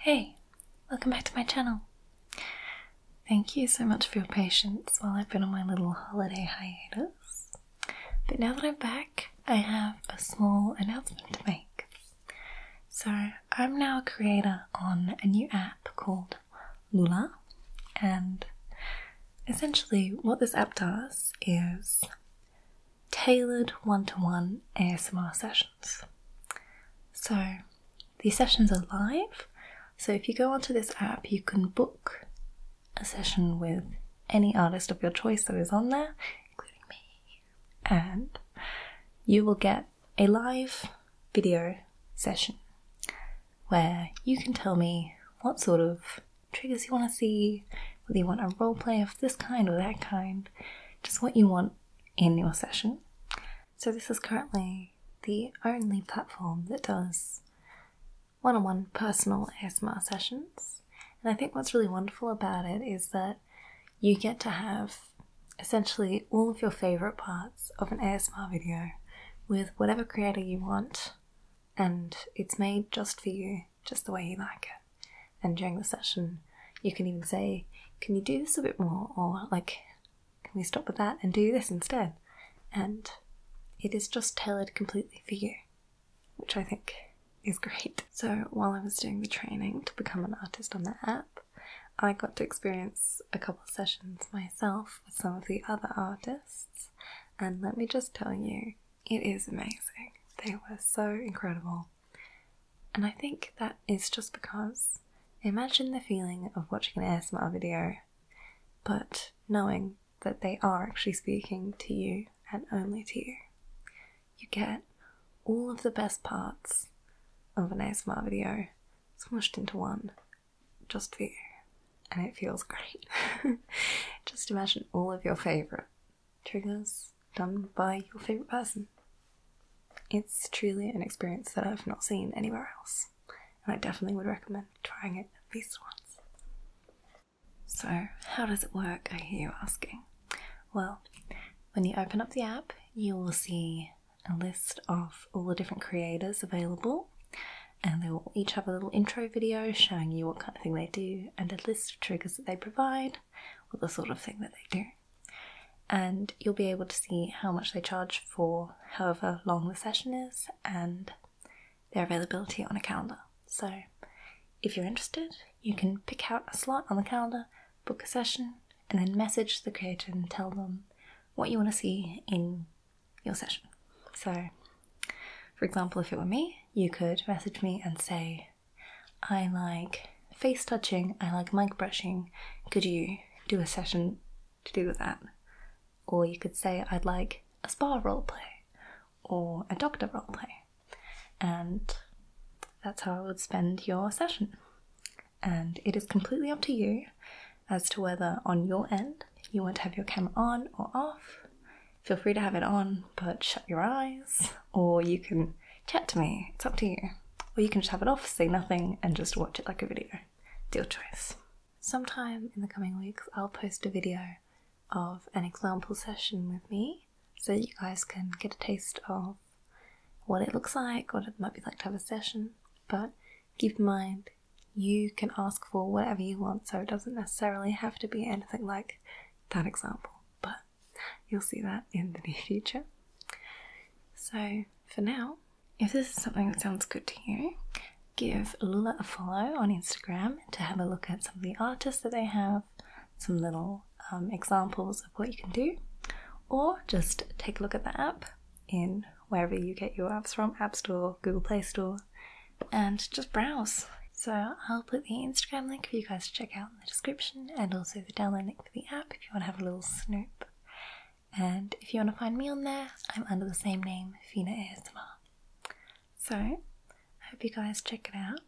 Hey, welcome back to my channel. Thank you so much for your patience while I've been on my little holiday hiatus. But now that I'm back, I have a small announcement to make. So, I'm now a creator on a new app called Lula. And essentially, what this app does is tailored one to one ASMR sessions. So, these sessions are live. So, if you go onto this app, you can book a session with any artist of your choice that is on there, including me, and you will get a live video session where you can tell me what sort of triggers you want to see, whether you want a role play of this kind or that kind, just what you want in your session. So, this is currently the only platform that does one on one personal ASMR sessions. And I think what's really wonderful about it is that you get to have essentially all of your favorite parts of an ASMR video with whatever creator you want, and it's made just for you, just the way you like it. And during the session, you can even say, Can you do this a bit more? or like, Can we stop with that and do this instead? And it is just tailored completely for you, which I think is great. So while I was doing the training to become an artist on the app, I got to experience a couple sessions myself with some of the other artists, and let me just tell you, it is amazing. They were so incredible. And I think that is just because imagine the feeling of watching an ASMR video, but knowing that they are actually speaking to you and only to you. You get all of the best parts of an ASMR video smushed into one just for you. And it feels great. just imagine all of your favourite triggers done by your favourite person. It's truly an experience that I've not seen anywhere else, and I definitely would recommend trying it at least once. So, how does it work? I hear you asking. Well, when you open up the app, you will see a list of all the different creators available, and they will each have a little intro video showing you what kind of thing they do and a list of triggers that they provide, or the sort of thing that they do. And you'll be able to see how much they charge for however long the session is and their availability on a calendar. So, if you're interested, you can pick out a slot on the calendar book a session, and then message the creator and tell them what you want to see in your session. So, for example, if it were me, you could message me and say, I like face touching, I like mic brushing, could you do a session to do that? Or you could say, I'd like a spa role play or a doctor role play. And that's how I would spend your session and it is completely up to you as to whether on your end you want to have your camera on or off. Feel free to have it on, but shut your eyes, or you can chat to me. It's up to you. Or you can just have it off, say nothing, and just watch it like a video. Deal choice. Sometime in the coming weeks, I'll post a video of an example session with me so you guys can get a taste of what it looks like, what it might be like to have a session. But keep in mind, you can ask for whatever you want, so it doesn't necessarily have to be anything like that example, but you'll see that in the near future. So, for now, if this is something that sounds good to you, give Lula a follow on Instagram to have a look at some of the artists that they have, some little um, examples of what you can do, or just take a look at the app in wherever you get your apps from App Store, Google Play Store, and just browse. So, I'll put the Instagram link for you guys to check out in the description and also the download link for the app if you want to have a little snoop. And if you want to find me on there, I'm under the same name, Fina ASMR. So, I hope you guys check it out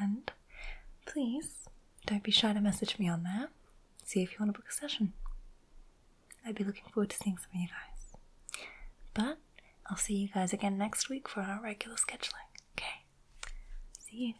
and please don't be shy to message me on there see if you want to book a session. I'd be looking forward to seeing some of you guys. But I'll see you guys again next week for our regular scheduling. Okay? See you.